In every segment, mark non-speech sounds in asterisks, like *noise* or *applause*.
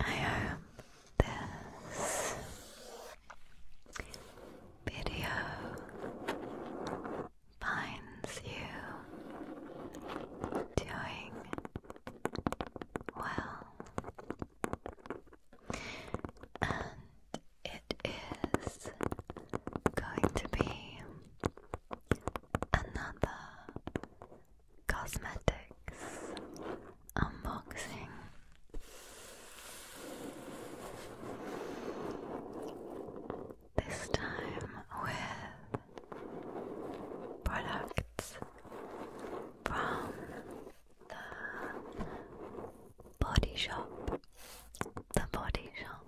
I hope this video finds you doing well, and it is going to be another cosmetics unboxing. This time with products from the body shop. The body shop.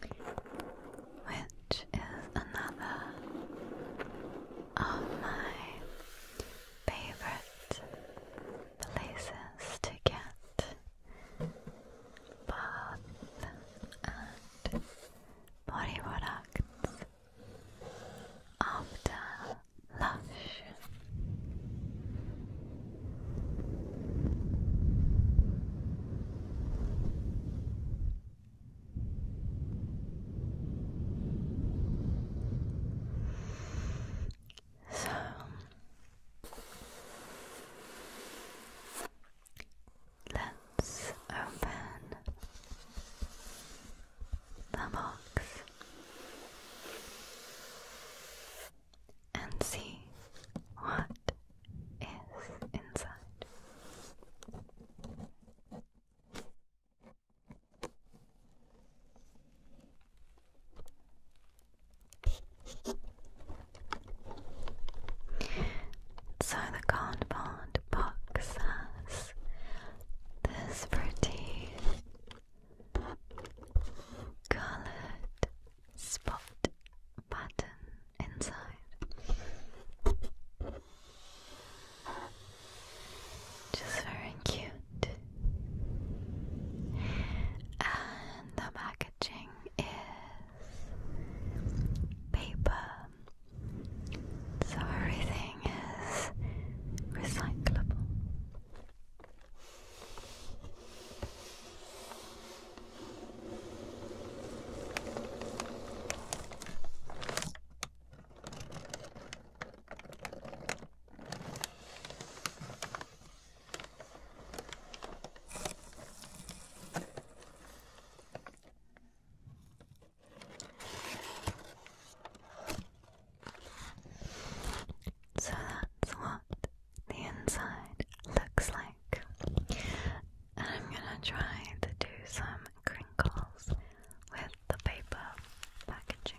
Which is another of my favorite places to get bath and body products after lunch. So let's open the box and see what is inside. So the cardboard box has this pretty colored spot pattern inside. Just very cute. And the packaging is paper. So everything everything is recyclable. So that's what the inside looks like. And I'm gonna try to do some crinkles with the paper packaging.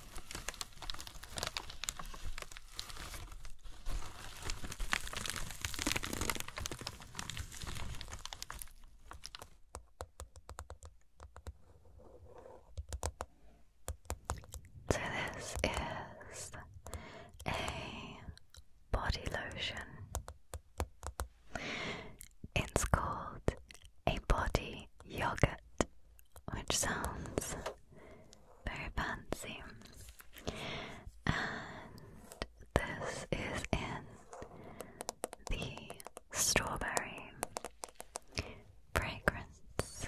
So, this is a body lotion. It's called a body yogurt which sounds very fancy. And this is in the strawberry fragrance.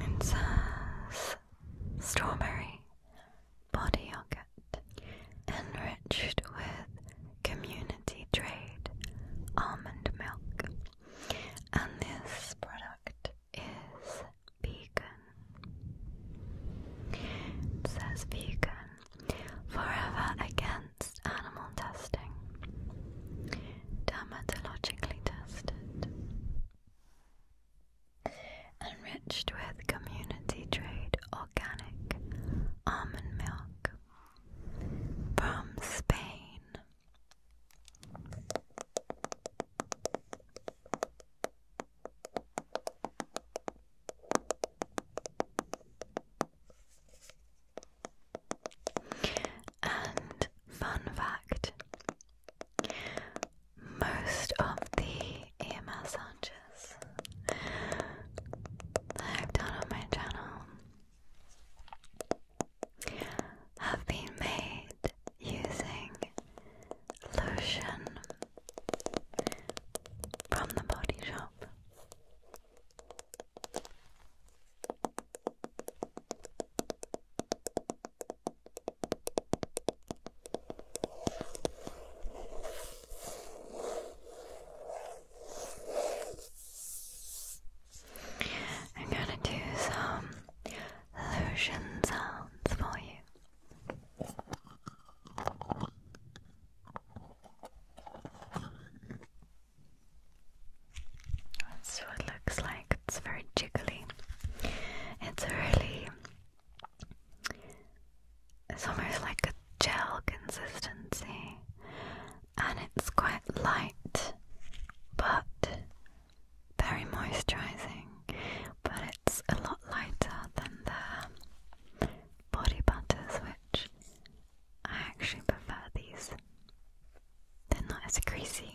It says strawberry body yogurt enriched with community trade almond milk. And this product is vegan. says vegan forever against animal testing. Dermatologically tested. Enriched with community trade organic almond milk from Spain. And fun fact most of the AMS hunches I've done on my channel have been made using lotion from the body shop. I'm gonna do some lotion sounds for you. That's what looks like. It's very jiggly. It's really it's almost like a gel consistency and it's quite light but very moisturizing but it's a lot lighter than the body butters which I actually prefer these. They're not as greasy.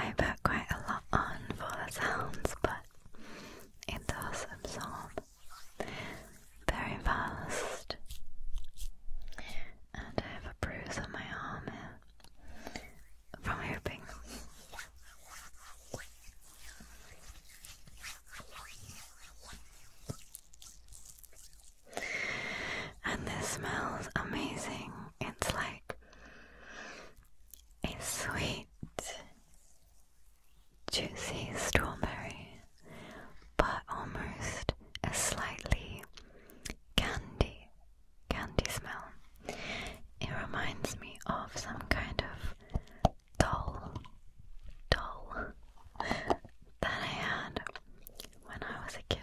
I put quite a lot on for the sounds, but it does absorb very fast. And I have a bruise on my arm here from hooping. And this smells amazing. It's like a sweet juicy strawberry, but almost a slightly candy, candy smell. It reminds me of some kind of doll, doll that I had when I was a kid.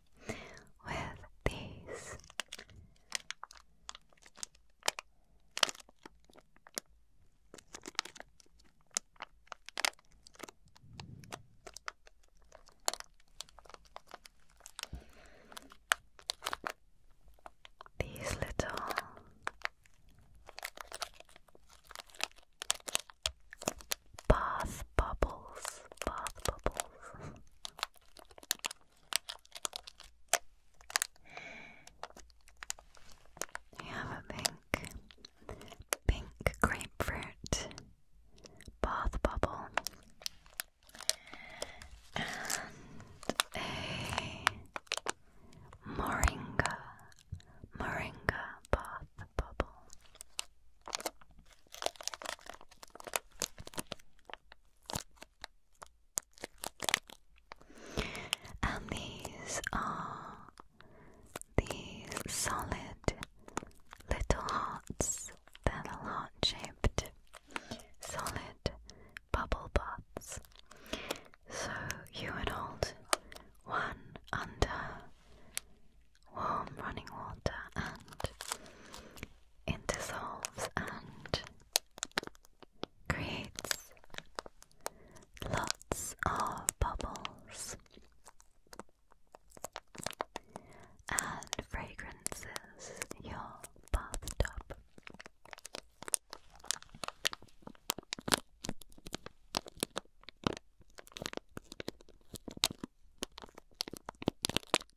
with these. These little bath bubbles, bath bubbles. We have a pink, pink grapefruit bath bubble and a moringa, moringa bath bubble. And these are these solid little hearts, they're heart shaped solid bubble pots. So you would hold one under warm running water and it dissolves and creates lots of bubbles and fragrances your bathtub.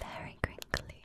Very crinkly.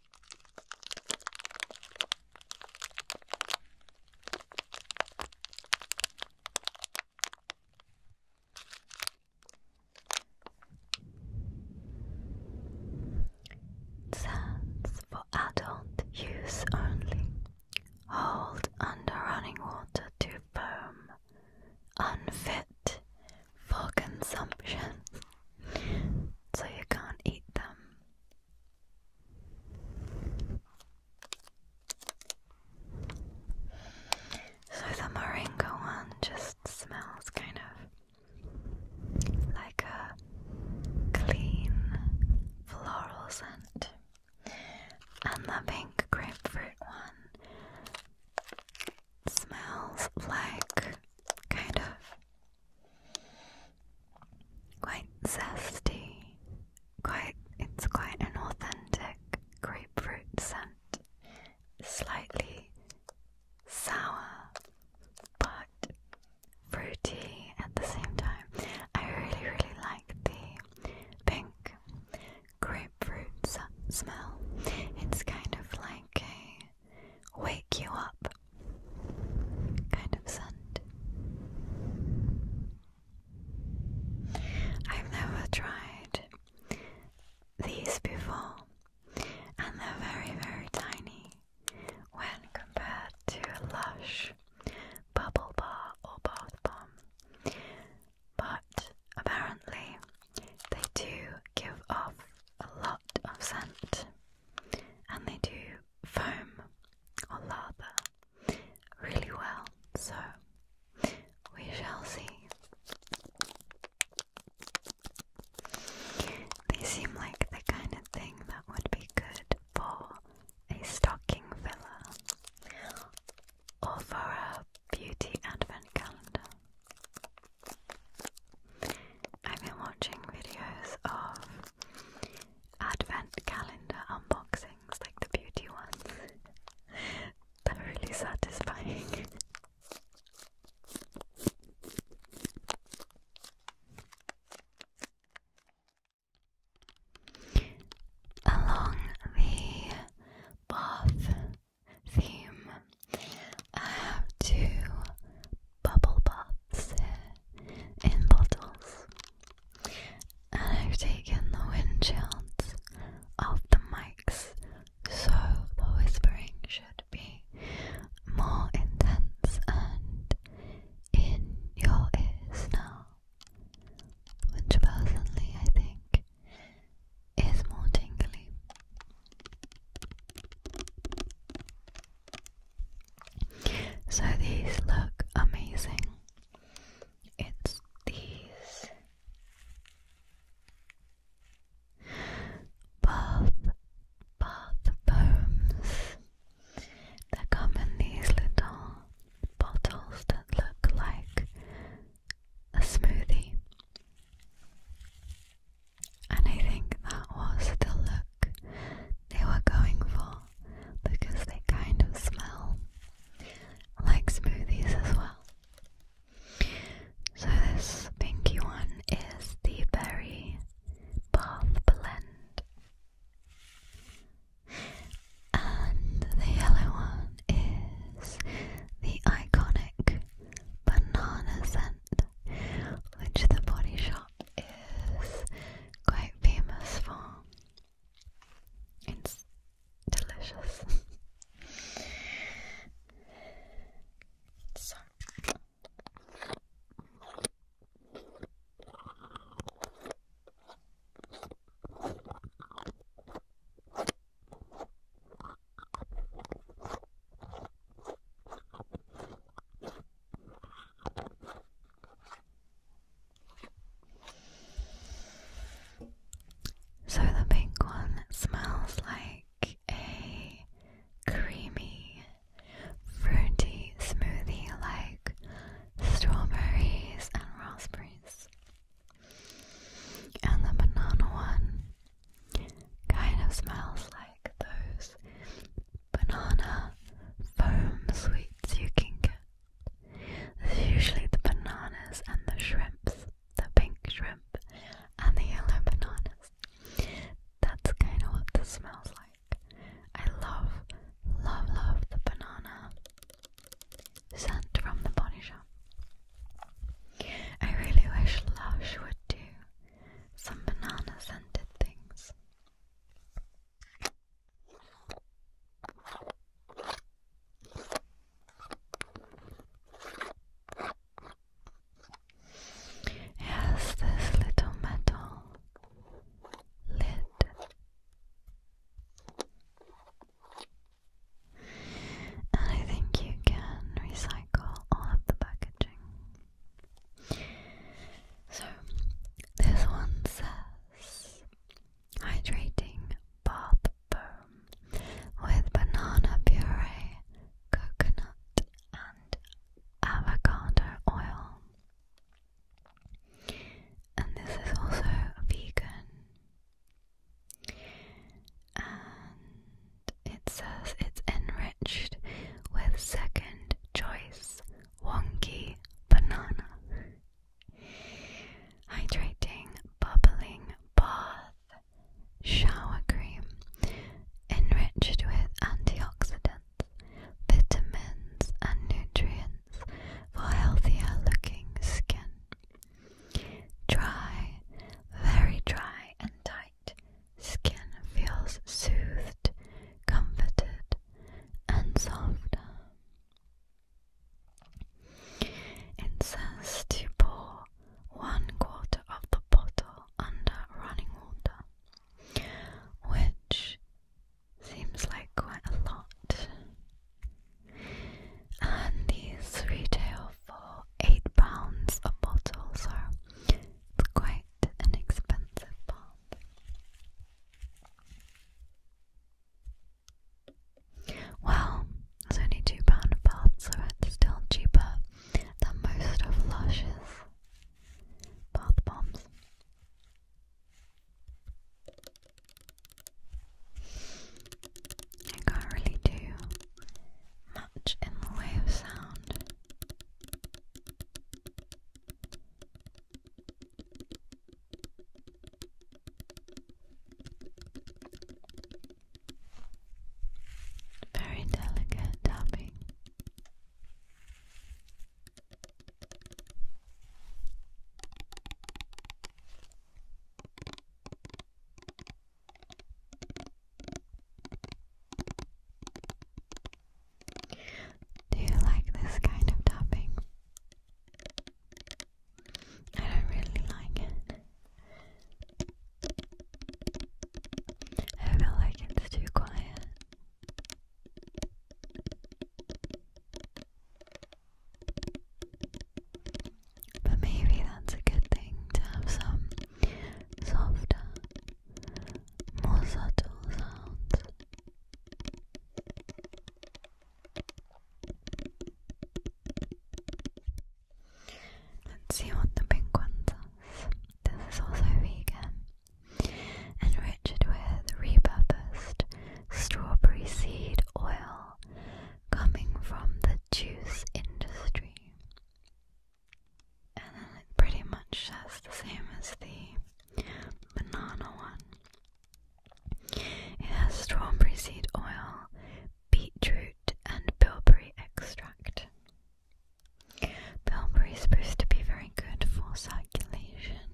Sands for adult use only. Hold under running water to foam. Unfit for consumption. *laughs* so you can't eat them. So the moringa one just smells kind of like a clean floral scent. And the pink grapefruit one smells like kind of Quite zesty. Quite it's quite an authentic grapefruit scent. Slightly sour but fruity at the same time. I really really like the pink grapefruits smell. It's kind of like a wake you up kind of scent. I've never tried these before, and they're very, very tiny when compared to Lush Bubble Bar or Bath Bomb. But apparently, they do give off a lot of scent and they do foam or lather really well, so we shall see. They seem like the kind of thing that would be good for a stocking filler or for a beauty advent calendar. I've been watching videos of advent calendar unboxings, like the beauty ones. *laughs* They're really satisfying. *laughs* Along the bath theme, I have two bubble baths in bottles, and I've taken the windshields off the mics so the whispering should be more intense and in your ears now, which personally I think is more tingly. So these look amazing. It's these bath bath foams that come in these little bottles that look like a smoothie. And I think that was the look they were going for because they kind of smell like smoothies as well. So, this pinky one is the Berry Bath Blend, and the yellow one is the iconic banana scent, which the Body Shop is quite famous for. It's delicious. *laughs* So the pink one smells like a creamy, fruity smoothie like strawberries and raspberries. And the banana one kind of smells like those banana foam sweets you can get. There's usually the bananas and the shrimps, the pink shrimp and the yellow bananas. That's kind of what this smells like. I love, love, love the banana scent from the body shop. I really wish Lush would do some banana scented things. Yes, this little metal lid. And I think you can recycle all of the packaging. So, this one says hydrating bath foam with banana puree, coconut, and avocado oil. And this is also vegan. And it says it's enriched with second choice wonky banana. Hydrating, bubbling bath shower cream enriched with antioxidants, vitamins, and nutrients for healthier looking skin. Dry, very dry, and tight skin feels soothed, comforted, and soft. It to pour one quarter of the bottle under running water, which seems like quite a lot. And these retail for £8 a bottle, so it's quite an expensive bomb. Well, it's only two pound a pop, so it's still cheaper than most of Lush's bath bombs. I can't really do much in the way of sound. Very delicate tapping. Do you like this kind of tapping? I don't really like it. I feel like it's too quiet. But maybe that's a good thing to have some softer more subtle sounds. Let's see what the pink one does. This is also vegan. Enriched with repurposed strawberry seed oil coming from the juice industry and then it pretty much says the same as the banana one. It has strawberry seed oil, beetroot, and bilberry extract. Bilberry is supposed to be very good for circulation.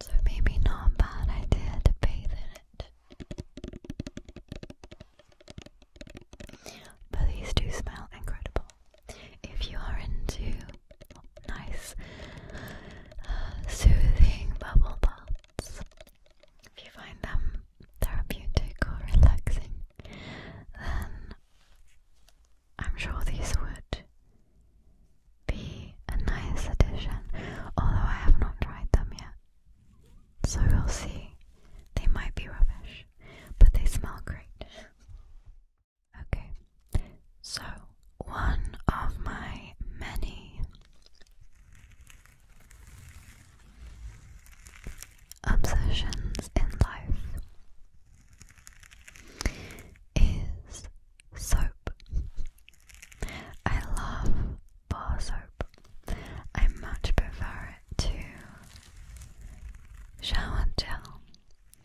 So maybe not a bad idea to bathe in it. But these do smell incredible. If you are into nice, uh, soothing bubble baths, if you find them therapeutic or relaxing, then I'm sure these would be a nice addition, although I have not tried them yet. So we'll see. They might be rubbish but they smell great. Okay, so one of my many obsessions in life is soap. I love bar soap. I much prefer it to show and tell.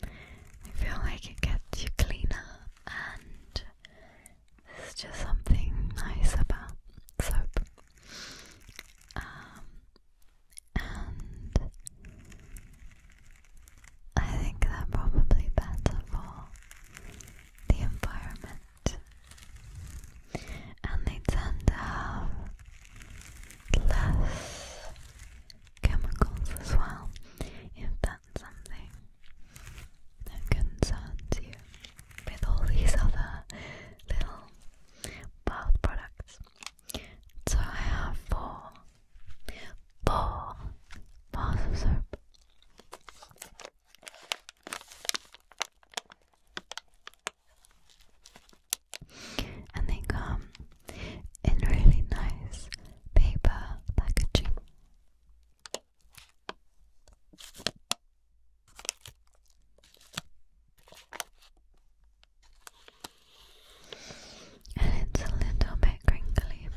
I feel like it gets you cleaner, and there's just something nice about soap. Um, and I think they're probably better for the environment. And they tend to have less chemicals as well, if that's something that concerns you with all these other little bath products. So I have four, four bars soap. And they come in really nice paper packaging. And it's a little bit crinkly.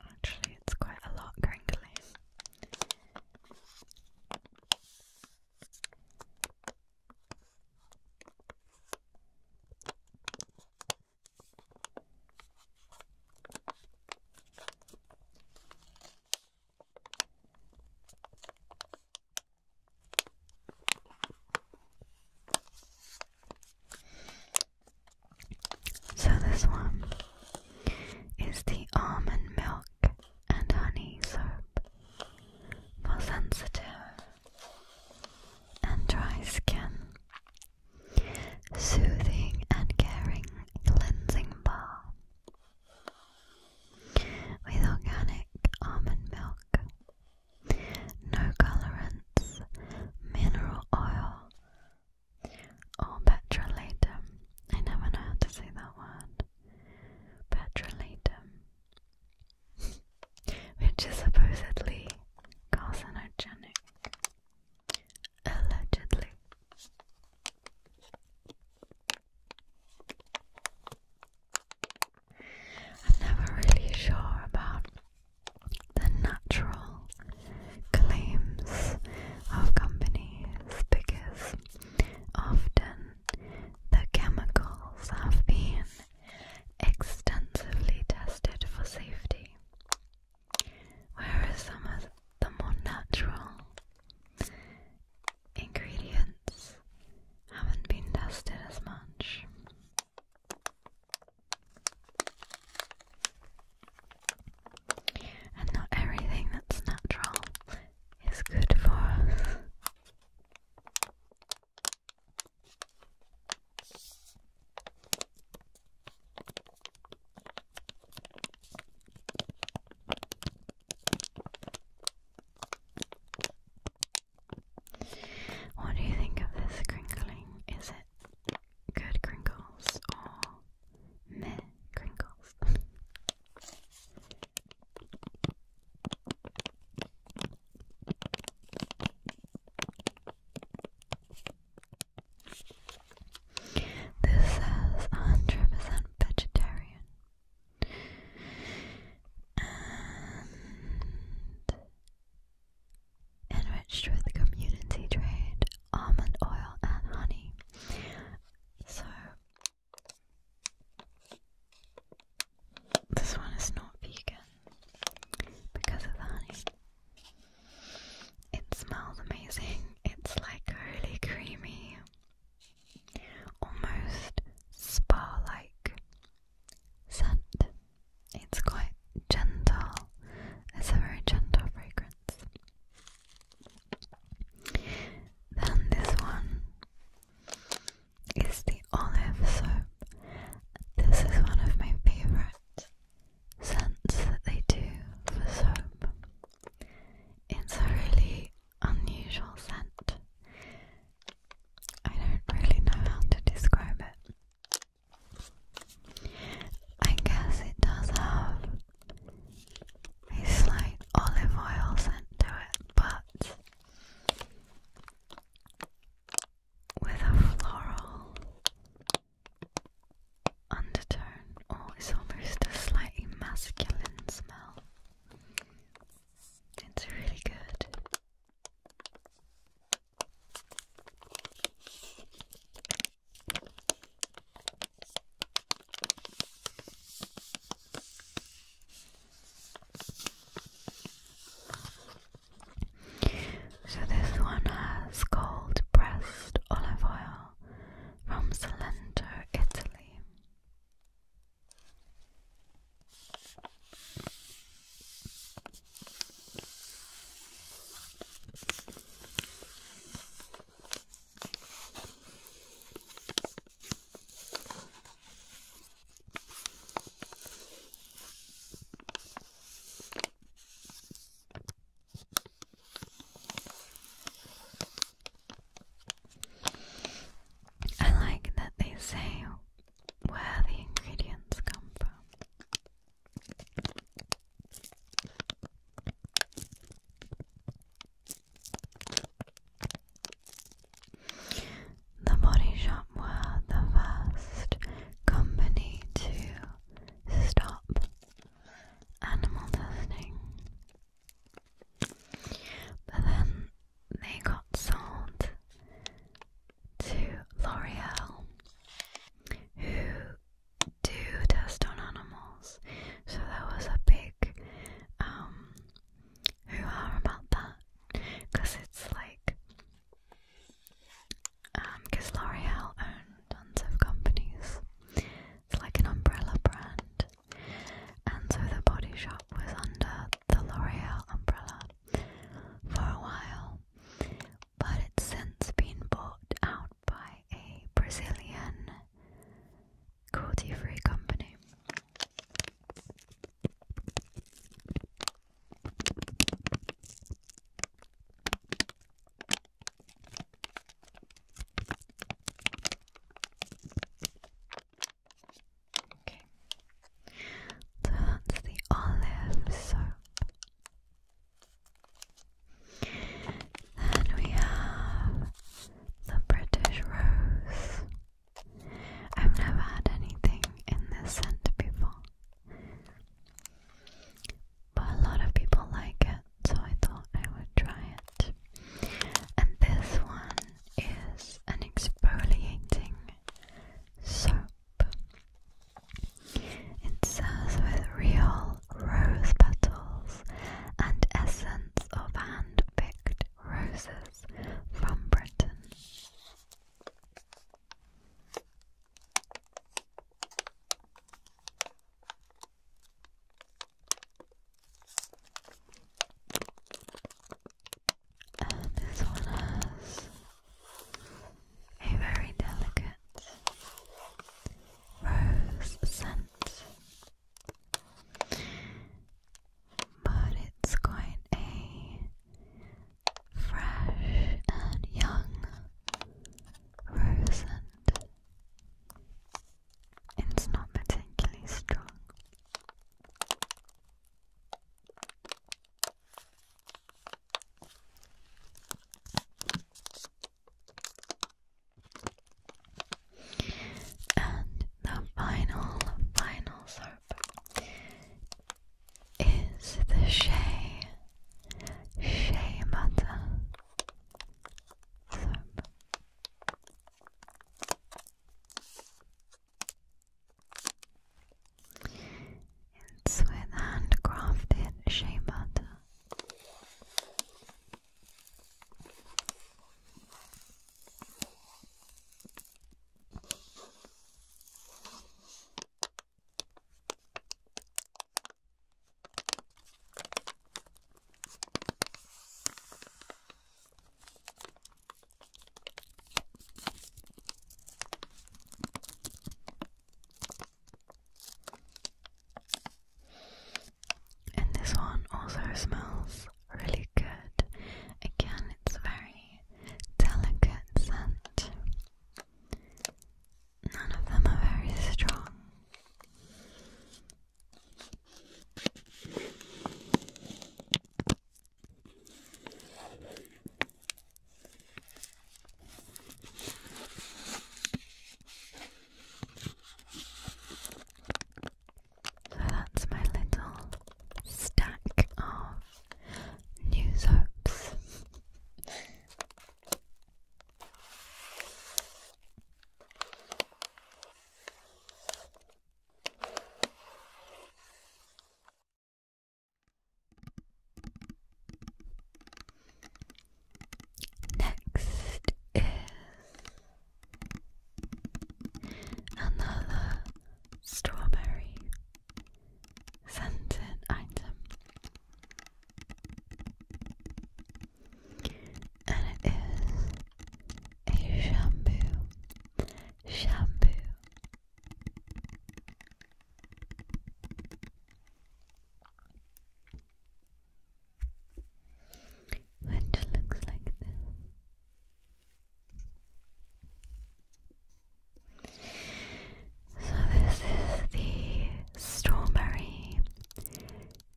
Actually, it's quite a lot crinkly. So, this one is the almond milk and honey soap for sensitive and dry skin. Soothing and caring cleansing bar with organic almond milk, no colorants, mineral oil, or petrolatum. I never know how to say that word. Petrolatum which is supposedly carcinogenic. Allegedly. I'm never really sure about the natural claims of companies because often the chemicals have been extensively tested for safety, whereas some of the more natural ingredients haven't been tested as much. And not everything that's natural is good for us. What do you think of this crinkling? Is it good crinkles or meh crinkles? *laughs* This says 100% vegetarian. And enriched with community trade, almond oil, and honey. So, this one is not vegan because of the honey. It smells amazing. It's like really creamy, almost spa like scent. It's quite gentle, it's a very gentle fragrance. Then, this one is the olive soap. This is one of my favorite scents that they do for soap. It's a really unusual scent. I don't really know how to describe it. I guess it does have a slight olive oil scent to it, but with a floral undertone, or oh, it's almost a slightly masculine smell. It's really good. So this one has cold pressed olive oil from Salento, Italy. I like that they say where the ingredients come from. The Body Shop were the first company to stop animal testing. But then they got sold to L'Oreal, who do test on animals. So that was a big um hoo about that because it's like because um, L'Oreal owns tons of companies. It's like an umbrella brand. And so the body shop was under the L'Oreal umbrella for a while. But it's since been bought out by a Brazilian cruelty free company. That's the olive soap. Then we have the British Rose. I've never had anything in this scent before. But a lot of people like it, so I thought I would try it. And this one is an exfoliating soap. It serves with real rose petals and essence of hand picked roses from Britain. And this one has a very delicate rose scent, but it's quite a fresh and young, rosant. It's not particularly strong. And the final, final soap is the Shea Shea Butter soap. It's with handcrafted shea butter. And this one also smells really good. Again, it's very delicate scent. None of them are very strong. So that's my little stack of New soaps. Next is another strawberry sent item, and it is a shampoo. Shampoo. Which looks like this. So, this is the Strawberry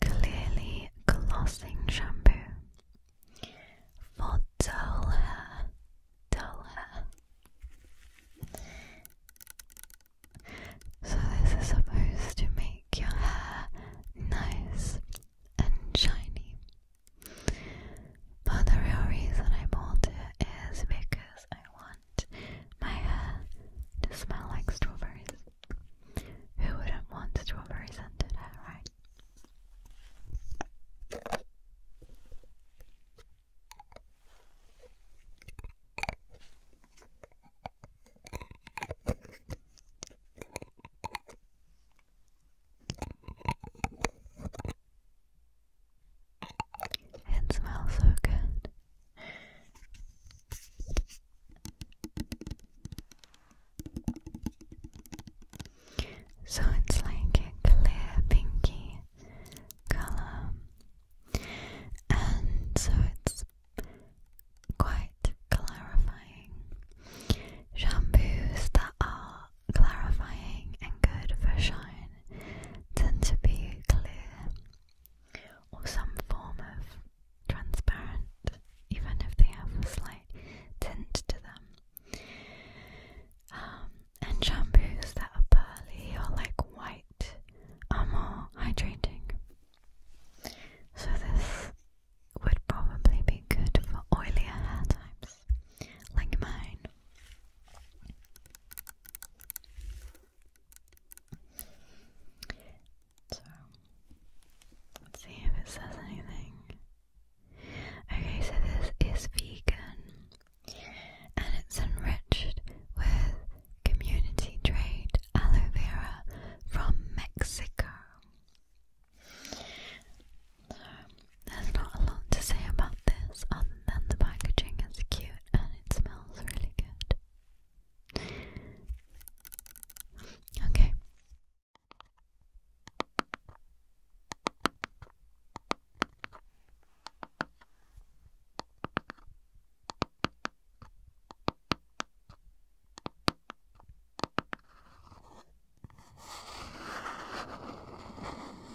Clearly Glossing Shampoo for dull hair. Dull hair. So, this is supposed to make your hair nice and shiny. But the real reason I bought it is because I want my hair to smell like strawberries. Who wouldn't want strawberry scented hair, right? It smells so good. So it's like a clear pinky color, and so it's quite clarifying. Shampoos that are clarifying and good for shine tend to be clear or some form of transparent, even if they have a slight tint to them. Um, and shampoos that are pearly or like white are more hydrating. So, this would probably be good for oilier hair types like mine. So, see if it says anything. Okay, so this is vegan and it's enriched with community trade aloe vera from Mexico. there's not a lot to say about this and the packaging is cute and it smells really good. Okay.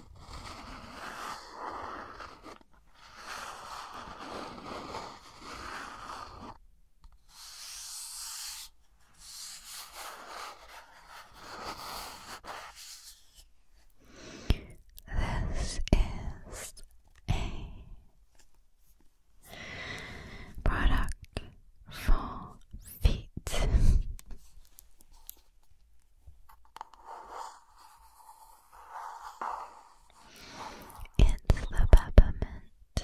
This is a product for feet. It's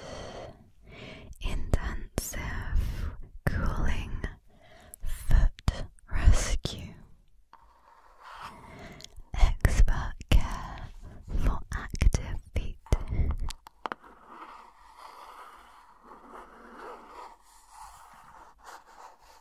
intensive cooling foot rescue. Expert care for active feet.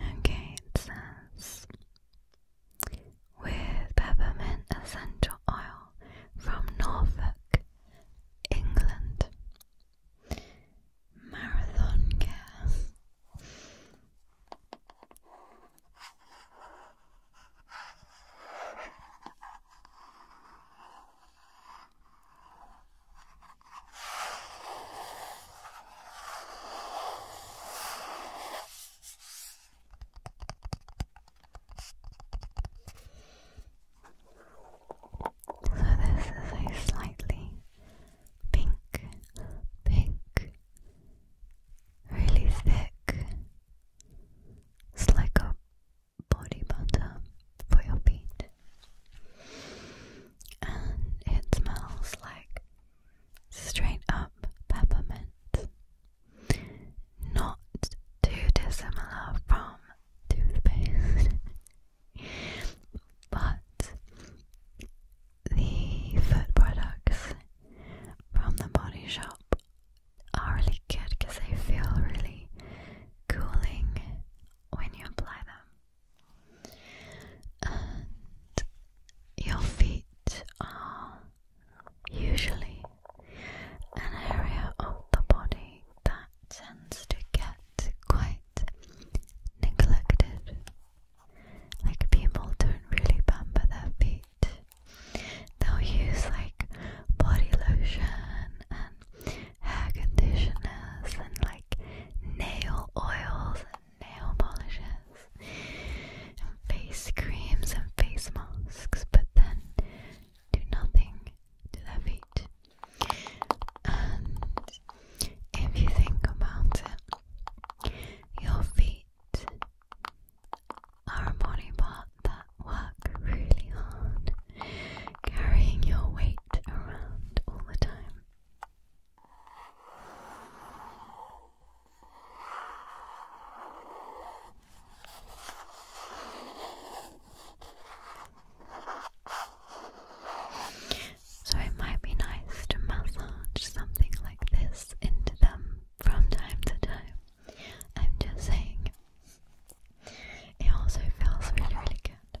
Okay, it says with peppermint essential oil from Norfolk, England. Marathon care. So this is a slightly pink, pink, really thick. It's body butter for your feet and it smells like straight up peppermint, not too dissimilar from toothpaste, *laughs* but the food products from the body shop are really good because they feel really cooling when you apply them your feet are usually an area of the body that tends to get quite neglected. Like people don't really pamper their feet. They'll use like body lotion and hair conditioners and like nail oils and nail polishes and face creams and face masks, but then do nothing to their feet. And if you think about it, your feet are a body part that work really hard, carrying your weight around all the time. So it might be nice to massage something like this into them from time to time. I'm just saying. It also feels really, really good.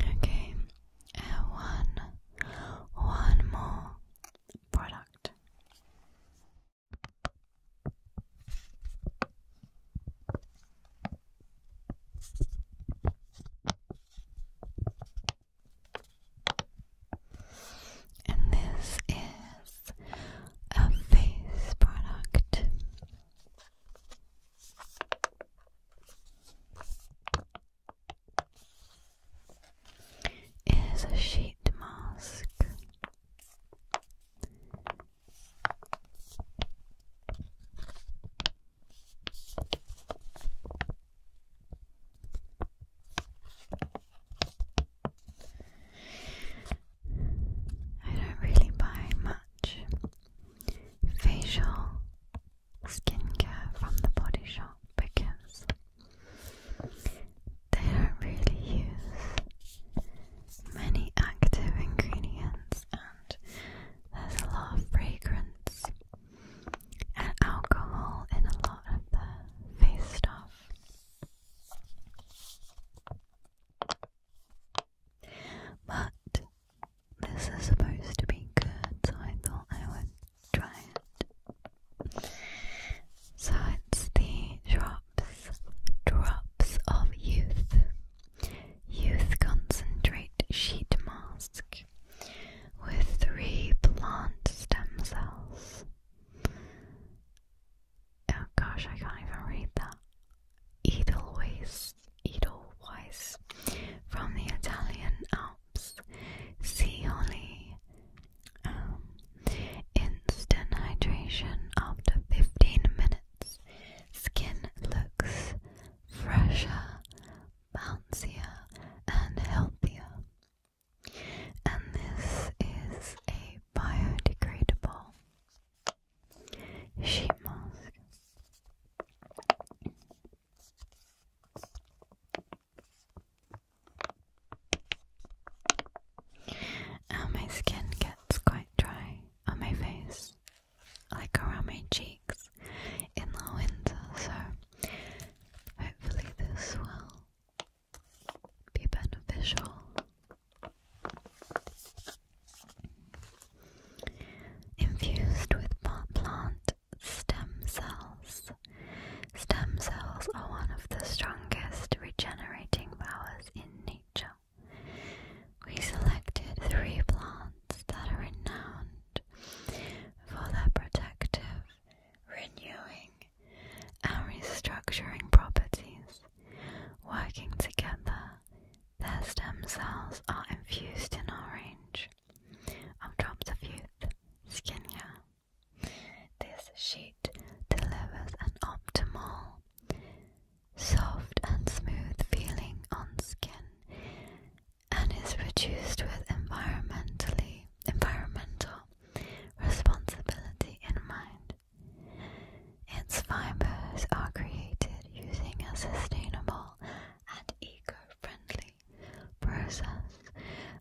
Okay, uh, one, one more product. And this is is a face product. It is a sheet mask. I don't really buy much facial skincare from the body shop because they don't really use many active ingredients and there's a lot of fragrance and alcohol in a lot of the face stuff. But this is supposed to be good, so I thought I would try it. So it's the drops, drops of youth, youth concentrate sheet mask with three plant stem cells. Oh gosh, I can't even read that. Edelweiss, Edelweiss, from the Italian Alps, Scioli. Um, instant hydration after 15 minutes. Skin looks fresher, bouncier, and healthier. And this is a biodegradable she mask. Uh, oh, my skin gets quite dry on my face, like around my cheeks, in the winter, so hopefully this will be beneficial. Infused with plant stem cells. Stem cells are one of the strongest regenerating powers in nature. We selected three plants that are renowned for their protective, renewing, and restructuring properties. Working together, their stem cells are infused in orange drops of youth skin care. This sheet delivers an optimal, soft and smooth feeling on skin and is produced with environmentally environmental responsibility in mind. Its fibers are created using a sustainable and eco-friendly process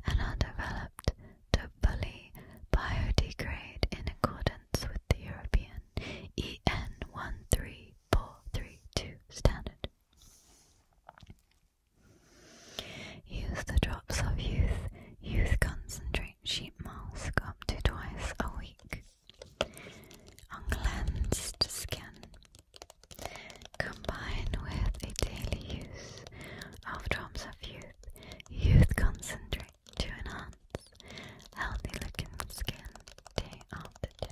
and are developed to fully biodegrade in accordance with the European EN 13432 standard. Use the drops of youth, youth concentrate straight sheep mask up to twice a week. Uncleansed skin combined with a daily use of drops of youth, youth concentrate to enhance healthy looking skin day after day.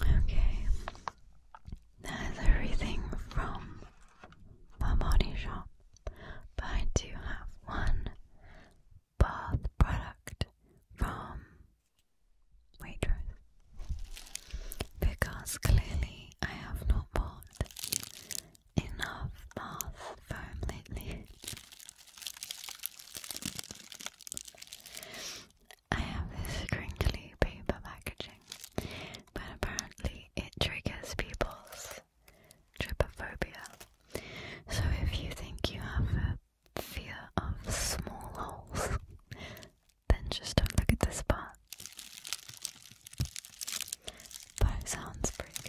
Okay, that's everything from my body shop but I do have one bath product from Waitrose because clearly I have not bought enough bath foam lately. I have this crinkly paper packaging, but apparently it triggers people's trypophobia. So if you think you have a fear of small holes, then just don't look at this part. But it sounds pretty good.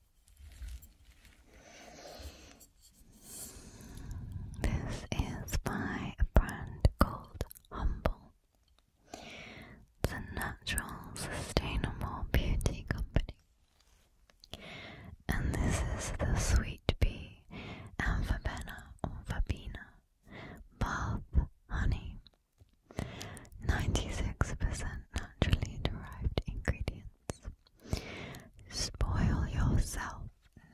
This is my brand called Humble. It's natural, sustainable beauty company. And this is the Sweet Bee and or Verbena Bath Honey. 96% naturally derived ingredients. Spoil yourself,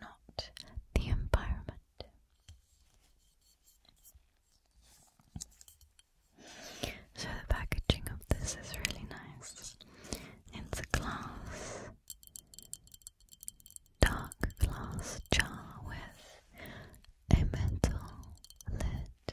not the environment. So, the packaging of this is really nice. It's a glass, dark glass jar with a metal lid.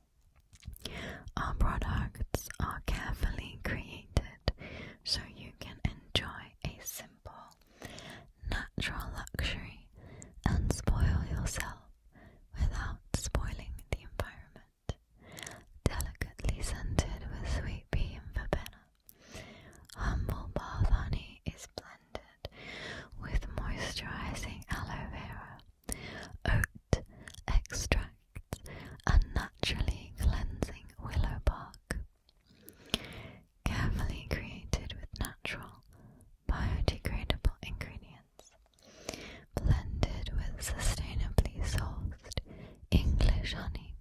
Our products are carefully created so you can enjoy a simple, natural luxury and spoil yourself without spoiling the environment. Delicately scented with sweet pea and verbena, humble bath honey is blended with moisturizing aloe vera oat extract and naturally cleansing willow bark. Carefully created with natural, biodegradable ingredients, blended with sustainably sourced English honey.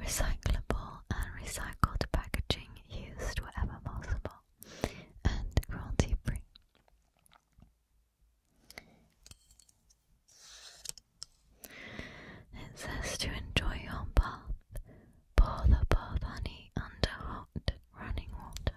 Recyclable and recycled packaging used wherever possible and cruelty free. It says to enjoy your bath, pour the bath honey under hot running water.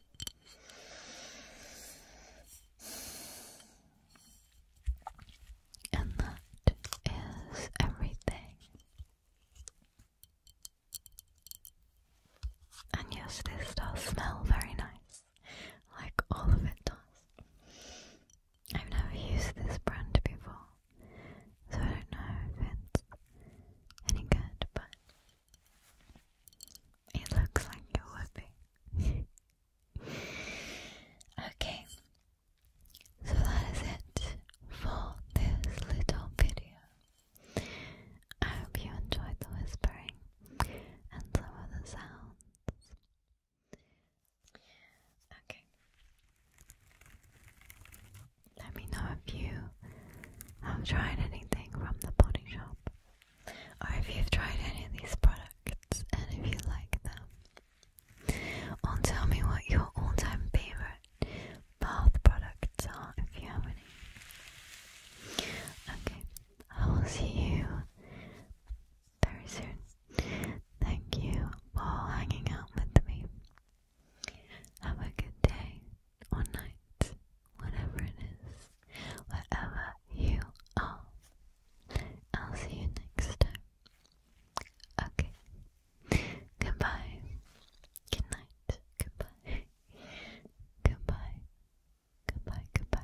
And that is everything. And yes, this does smell very nice, like all of it does. I've never used this brand before, so I don't know if it's any good, but it looks like it would be. okay, so that is it for this little video. I hope you enjoyed the whispering and some other sounds. Okay. Let me know if you have tried anything from the body shop or if you've tried any of these products and if you like them. Or tell me what your all time favourite bath products are if you have any. Okay, I will see you very soon. Thank you for hanging out with me. Have a good day or night, whatever it is, wherever you are. I'll see you next time. Okay. Goodbye. Good night. Goodbye. Goodbye. Goodbye. Goodbye.